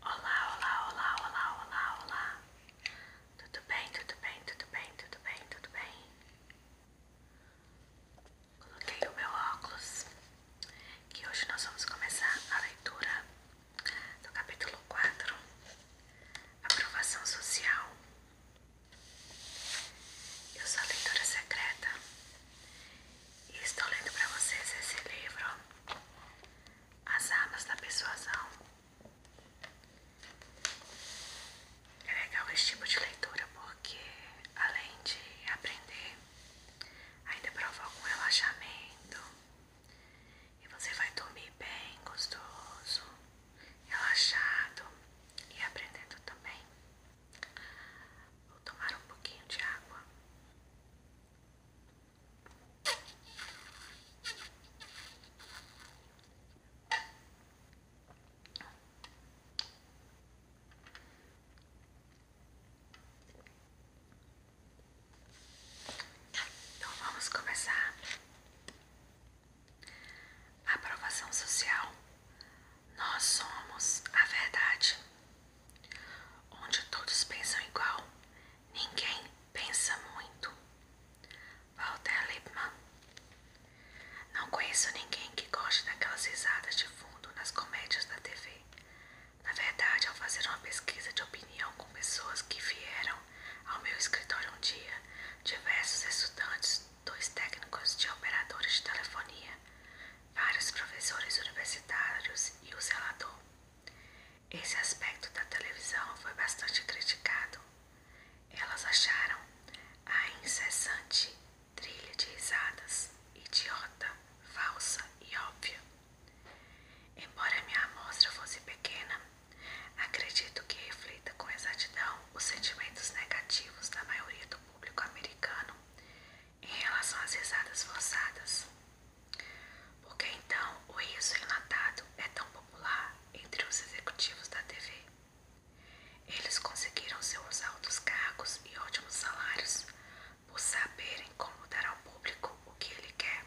Olá, olá, olá, olá, olá, olá. Tudo bem, tudo bem, tudo bem, tudo bem, tudo bem. Coloquei o meu óculos. Que hoje nós vamos começar a leitura do capítulo 4, Aprovação Social. Eu sou a leitora secreta estou lendo para vocês esse livro, As Armas da Persuasão. É legal esse tipo de leitura porque, além de aprender, ainda provoca um relaxamento e você vai dormir bem, gostoso, relaxado e aprendendo também. Vou tomar um pouquinho de água. Tá, então vamos começar a aprovação social. Nós somos a verdade. Onde todos pensam igual, ninguém pensa muito. Walter Lippmann. Não conheço ninguém que goste daquelas risadas de fundo nas comédias da TV. Na verdade, ao fazer uma pesquisa de opinião com pessoas que vieram ao meu escritório um dia, diversos estudantes, dois técnicos de operadores de telefonia vários professores universitários e o relatou. Esse aspecto da televisão foi bastante criticado. Elas acharam a incessante trilha de risadas, idiota, falsa e óbvia. Embora minha amostra fosse pequena, acredito que reflita com exatidão os sentimentos negativos da maioria do público americano em relação às risadas forçadas. Porque então o riso enlatado é tão popular entre os executivos da TV. Eles conseguiram seus altos cargos e ótimos salários por saberem como dar ao público o que ele quer.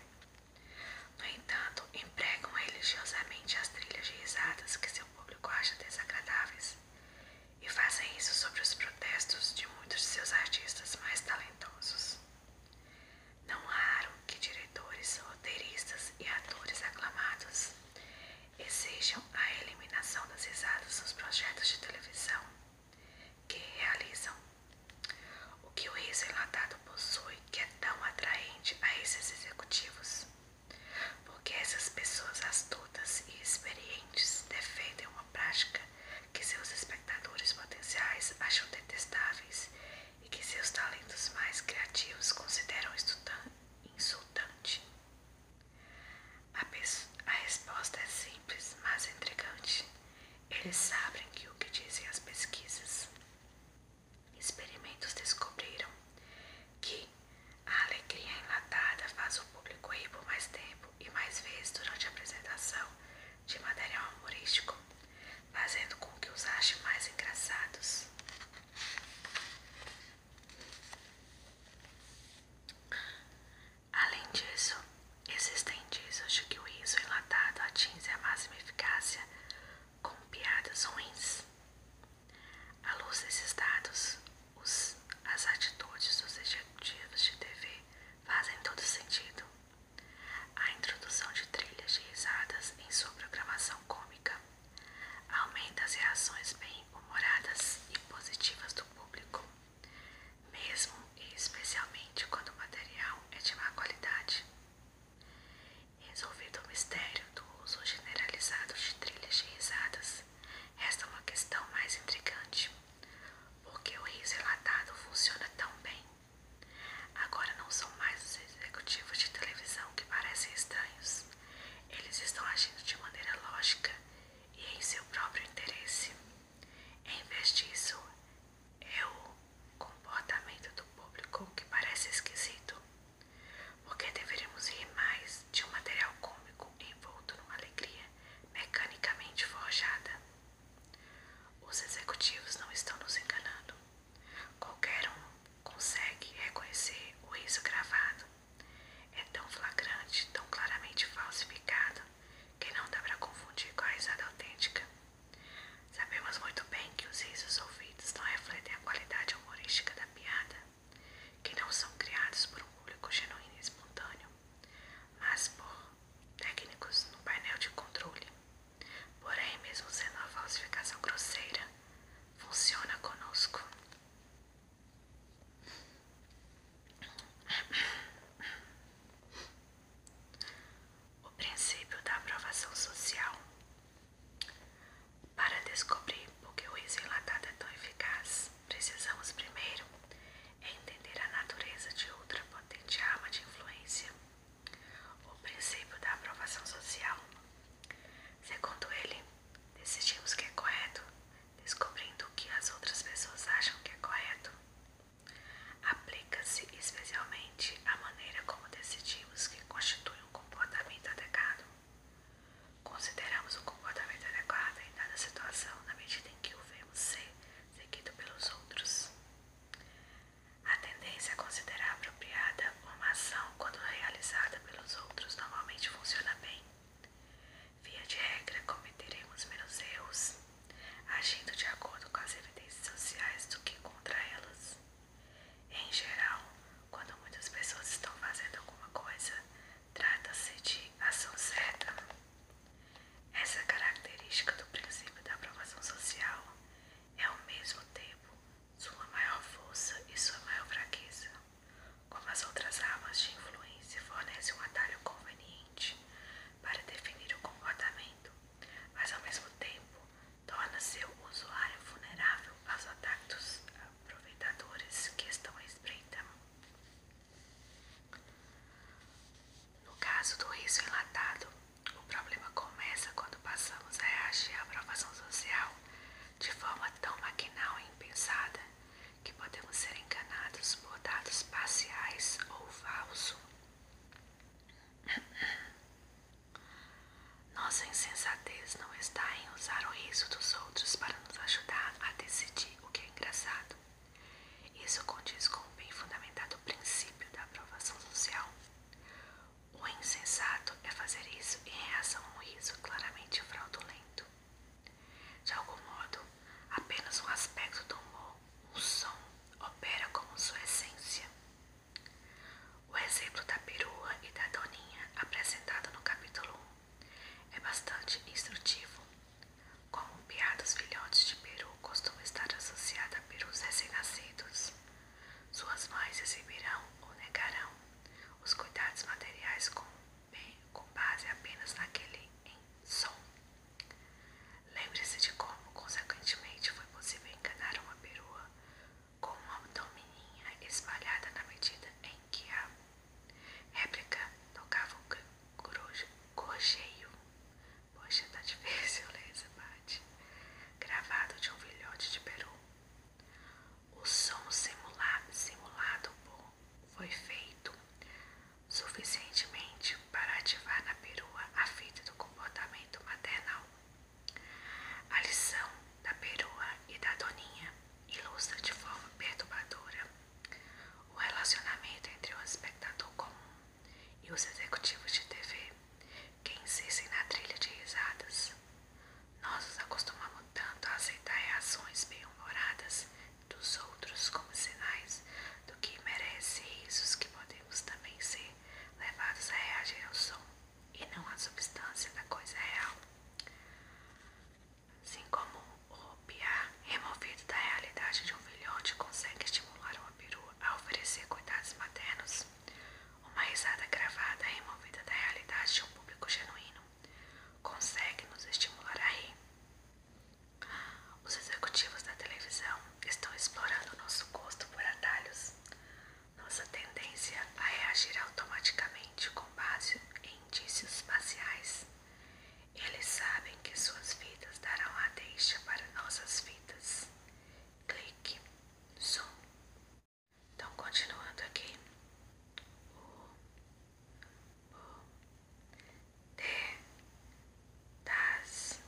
No entanto, empregam religiosamente as trilhas de risadas que seu público acha desagradáveis e fazem isso sobre os protestos de muitos de seus artistas mais talentosos. Não raro que diretores, roteiristas e atores aclamados exijam a eliminação das risadas nos projetos de televisão que realizam. O que o riso enlatado possui que é tão atraente a esses executivos? Porque essas pessoas astutas e experientes defendem uma prática que seus espectadores potenciais acham detestáveis e que seus talentos mais criativos consideram insultante. A, resposta é simples, mas intrigante. Eles sabem que o que dizem as pesquisas. Experimentos descobriram que a alegria enlatada faz o público rir por mais tempo e mais vezes durante a apresentação de material humorístico, fazendo com que os ache mais engraçados. Além disso, existem indícios de que o riso enlatado atinge a máxima eficácia com piadas ruins. À luz desses dados, as atitudes dos executivos de TV fazem todo sentido. A introdução de trilhas de risadas em sua programação cômica aumenta as reações bem-humoradas e positivas do público, mesmo e especialmente quando o material é de má qualidade. Resolvido o mistério do uso generalizado de trilhas de risadas, resta uma questão mais intrigante porque o riso relatado funciona tão bem. Agora não são mais os executivos de televisão que parecem estranhos. Eles estão agindo de maneira lógica e em seu próprio interesse. Em vez disso, é o comportamento do público que parece esquisito. Porque deveríamos ir mais de um material cômico envolto numa alegria mecanicamente forjada. Os executivos não estão nos enganando. Qualquer um consegue reconhecer o riso gravado. É tão flagrante, tão claramente falsificado, que não dá para confundir com a risada autêntica. Sabemos muito bem que os risos ouvidos não refletem a qualidade humorística da piada que não são criados por um público genuíno e espontâneo, mas por técnicos no painel de controle. Porém, mesmo sendo uma falsificação grosseira, funciona conosco. O princípio da aprovação social. Para descobrir por que o riso enlatado é tão eficaz, precisamos primeiro entender a natureza de outra potente arma de influência, o princípio da aprovação social. Segundo ele, decidimos que é correto, descobrindo o que as outras pessoas acham que é correto. Aplica-se especialmente à maneira como decidimos que constitui um comportamento adequado. Consideramos um comportamento adequado em dada situação na medida em que o vemos ser seguido pelos outros. A tendência a é considerar apropriada uma ação quando realizada pelos outros normalmente funciona bem. Via de regra, cometeremos menos erros agindo de acordo com as evidências sociais do que contra elas. Em geral, quando muitas pessoas estão fazendo alguma coisa, Trata-se de ação certa. Essa é característica do princípio da aprovação social é ao mesmo tempo sua maior força e sua maior fraqueza. Como as outras armas de influência fornece um atalho conveniente para definir o comportamento, mas ao mesmo tempo torna seu usuário vulnerável aos ataques aproveitadores que estão à espreita. No caso do riso enlatado, o problema começa quando passamos a reagir à aprovação social de forma tão maquinal e impensada que podemos ser enganados por dados parciais ou falso. Nossa insensatez não está em usar o riso dos outros para nos ajudar a decidir o que é engraçado. Isso condiz com o bem fundamentado princípio da aprovação social. O insensato é fazer isso em reação a um riso claramente fraudulento. De algum modo, apenas um aspecto do humor, um som, opera como sua essência. O exemplo da perua e da doninha, apresentado no capítulo 1, é bastante instrutivo. Como o piar dos filhotes de peru costuma estar associado a perus recém-nascidos, suas mães exibirão ou negarão os cuidados materiais com, base apenas naquele em som. Lembre-se de como, consequentemente, foi possível enganar uma perua com uma domininha espalhada na medida em que a Réplica tocava um gorjeio. Poxa, tá difícil ler essa parte. Gravado de um filhote de peru. O som simulado, simulado foi feito suficientemente para ativar na perua a fita do comportamento maternal. A lição da perua e da doninha ilustra de forma perturbadora o relacionamento entre o espectador comum e os executivos de TV, que insistem na trilha de risadas. Nós nos acostumamos tanto a aceitar reações bem-humoradas dos outros como sinais do que merece risos que podemos também ser levados a reagir ao som e não à substância da coisa real. Assim como o piar removido da realidade de um filhote consegue estimular uma Peru a oferecer cuidados maternos, uma risada gravada removida da realidade de um público genuíno consegue nos estimular a rir. Os executivos da televisão estão explorando nosso gosto por atalhos, nossa tendência a reagir automaticamente com base em indícios espaciais. Eles sabem que suas vidas darão a deixa para nossas vidas. Clique, zoom. Então, continuando aqui. O, o, D, das,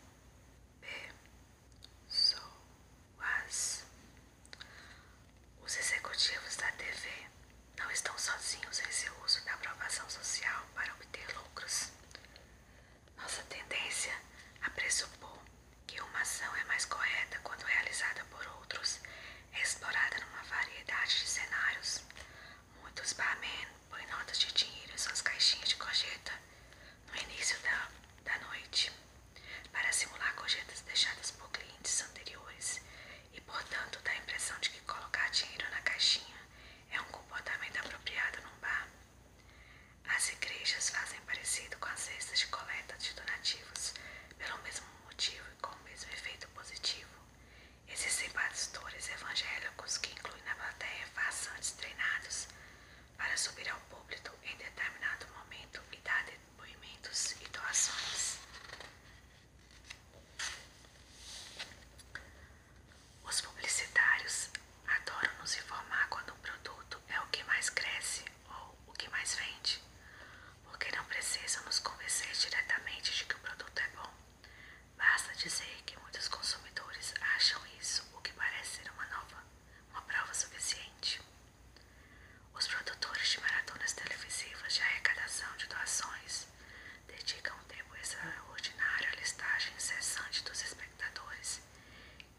as os executivos da TV não estão sozinhos em seu uso da aprovação social para obter lucros. Nossa tendência a pressupor que uma ação é mais correta quando realizada por outros é explorada numa variedade de cenários. Muitos barman põem notas de dinheiro em suas caixinhas de cojeta no início da, da noite para simular cojetas deixadas por clientes anteriores e, portanto, dá a impressão de que colocar dinheiro na caixinha é um comportamento apropriado num bar. As igrejas fazem parecido com as cestas de coleta de donativos, pelo mesmo motivo e com o mesmo efeito positivo. Existem pastores evangélicos que incluem na plateia façantes treinados para subir ao público em determinado momento e dar depoimentos e doações. Os publicitários adoram nos informar quando um produto é o que mais cresce ou o que mais vende, porque não precisam nos convencer diretamente de que o produto é bom. Basta dizer que muitos consumidores acham isso o que parece ser uma nova, uma prova suficiente. Os produtores de maratonas televisivas de arrecadação de doações dedicam um tempo extraordinário à listagem incessante dos espectadores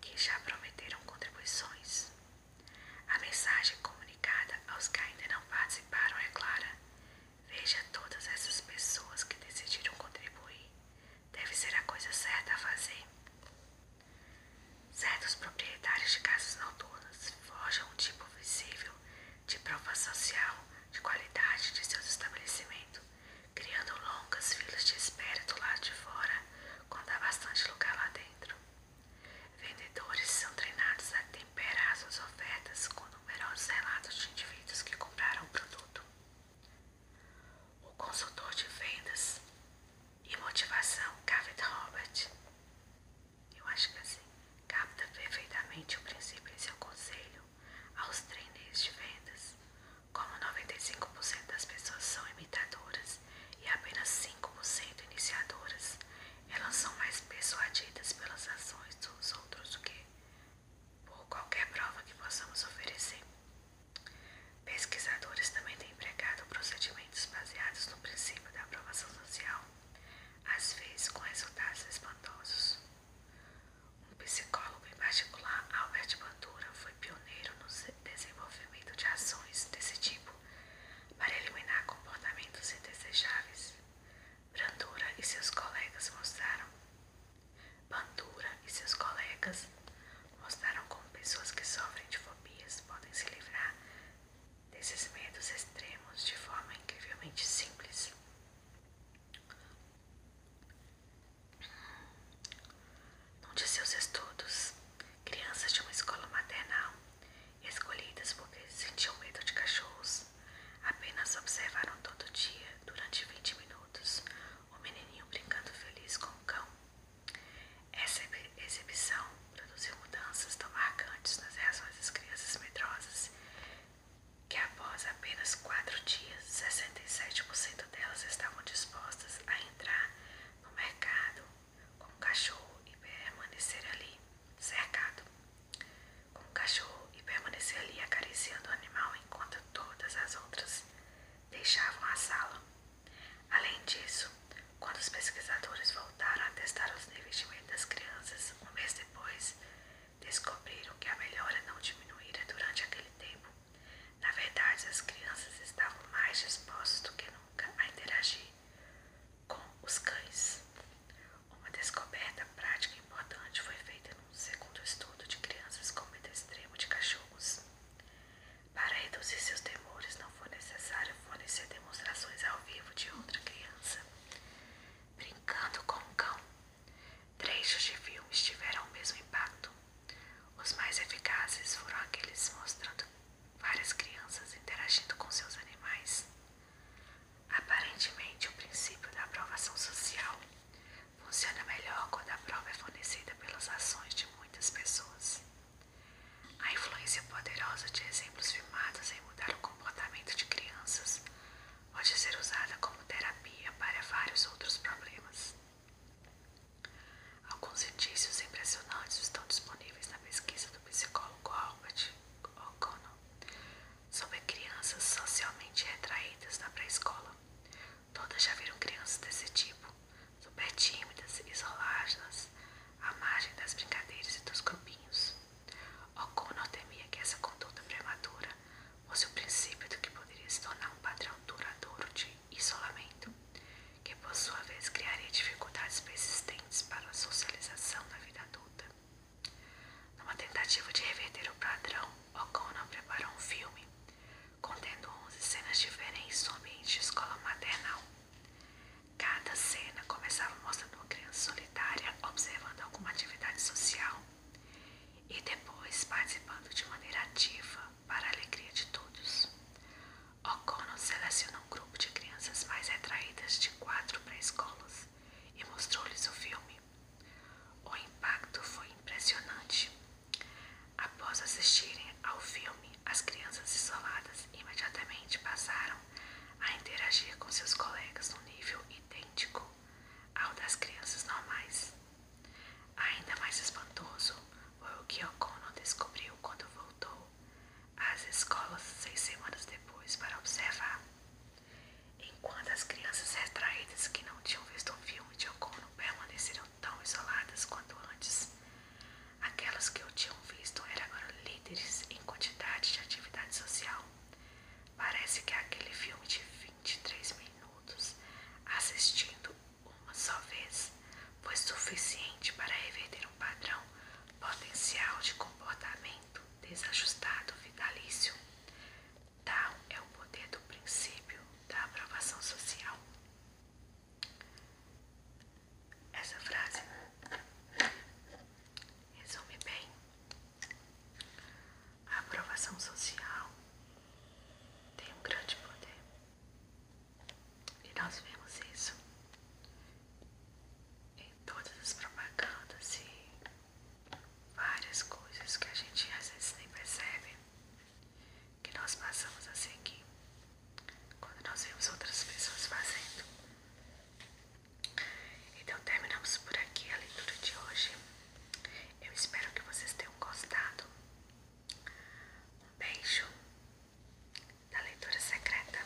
que já prometeram contribuições. A mensagem comunicada aos que ainda não participaram é clara. Veja todas essas pessoas que decidiram contribuir. Deve ser a coisa certa a fazer. Certos proprietários de casas noturnas forjam um tipo visível de prova social de qualidade de seus estabelecimentos, criando longas filas de espera do lado de fora quando há bastante lugar lá dentro. Vendedores são treinados a temperar suas ofertas com numerosos relatos de indivíduos que compraram o produto. O consultor de vendas e motivação David Robert eu acho que assim capta perfeitamente o princípio e seu conselho aos trainees de vendas. Como 95% das pessoas são imitadoras e apenas 5% iniciadoras, elas são mais persuadidas pelas ações dos outros do que por qualquer prova que possamos oferecer. Pesquisadores também têm empregado o procedimento experimentos baseados no princípio da aprovação social, às vezes com resultados espantosos. Um psicólogo, em particular, Albert Bandura, foi pioneiro no desenvolvimento de ações desse tipo para eliminar comportamentos indesejáveis. Bandura e seus colegas mostraram Bandura e seus colegas mostraram como pessoas que sofrem de fobias podem se livrar desses medos extremos de forma incrivelmente simples. Num de seus estudos, crianças de uma escola maternal, escolhidas porque sentiam medo de cachorros, apenas observaram todo dia, durante 20 minutos, o menininho brincando feliz com o cão essa exibição produziu mudanças tão marcantes nas reações das crianças medrosas que, após apenas quatro dias, 67% delas estavam dispostas a entrar no mercado com o cachorro e permanecer ali cercado, com o cachorro e permanecer ali acariciando o animal enquanto todas as outras deixavam a sala. Além disso, quando os pesquisadores voltaram a testar os níveis de medo das crianças um mês depois, descobriram que a melhora não diminuíra durante aquele tempo. Na verdade, as crianças estavam mais dispostas do que nunca a interagir com os cães. Uma descoberta prática importante foi feita num segundo estudo de crianças com medo extremo de cachorros. Para reduzir seus temores, não foi necessário fornecer demonstrações ao vivo de outra criança. Brincando com um cão, trechos de filmes tiveram o mesmo impacto. Os mais eficazes foram aqueles mostrando várias crianças interagindo com seus animais. Aparentemente, o princípio da aprovação social funciona melhor quando a prova é fornecida pelas ações de muitas pessoas. A influência poderosa de exemplos filmados em mudar o comportamento de crianças pode ser usada como terapia para vários outros problemas. Alguns indícios impressionantes estão disponíveis na pesquisa do psicólogo Albert O'Connell sobre crianças socialmente retraídas na pré-escola. Todas já viram crianças desse tipo, super tímidas, isoladas, à margem das brincadeiras e dos grupinhos. O'Connor temia que é essa conduta prematura fosse o princípio do que poderia se tornar um padrão duradouro de isolamento, que por sua vez criaria dificuldades persistentes para a socialização na vida adulta. Numa tentativa de reverter o padrão, O'Connor preparou um filme contendo 11 cenas diferentes do ambiente de escola maternal. Cada cena começava mostrando uma criança solitária observando alguma atividade social e depois participando de maneira ativa para a alegria de todos. O O'Connor selecionou um grupo de crianças mais retraídas de quatro pré-escolas e mostrou-lhes o filme. O impacto foi impressionante. Após assistirem ao filme, as crianças isoladas imediatamente passaram a interagir com seus colegas no nível idêntico ao das crianças normais. Ainda mais espantoso foi o que O'Connell descobriu quando voltou às escolas seis semanas depois para observar. Enquanto as crianças retraídas que não tinham visto o filme de O'Connell permaneceram tão isoladas quanto antes. Aquelas que eu tinha visto eram agora líderes em quantidade de atividade social. Parece que aquele filme de 23 minutos, assistindo uma só vez, foi suficiente para reverter um padrão potencial de comportamento desajustado vitalício. Tal é o poder do princípio da aprovação social. Essa frase resume bem a aprovação social tem um grande poder e nós vemos isso em todas as propagandas e várias coisas que a gente às vezes nem percebe que nós passamos assim aqui quando nós vemos outras pessoas fazendo. Então, terminamos por aqui a leitura de hoje. Eu espero que vocês tenham gostado. Um beijo da leitura secreta.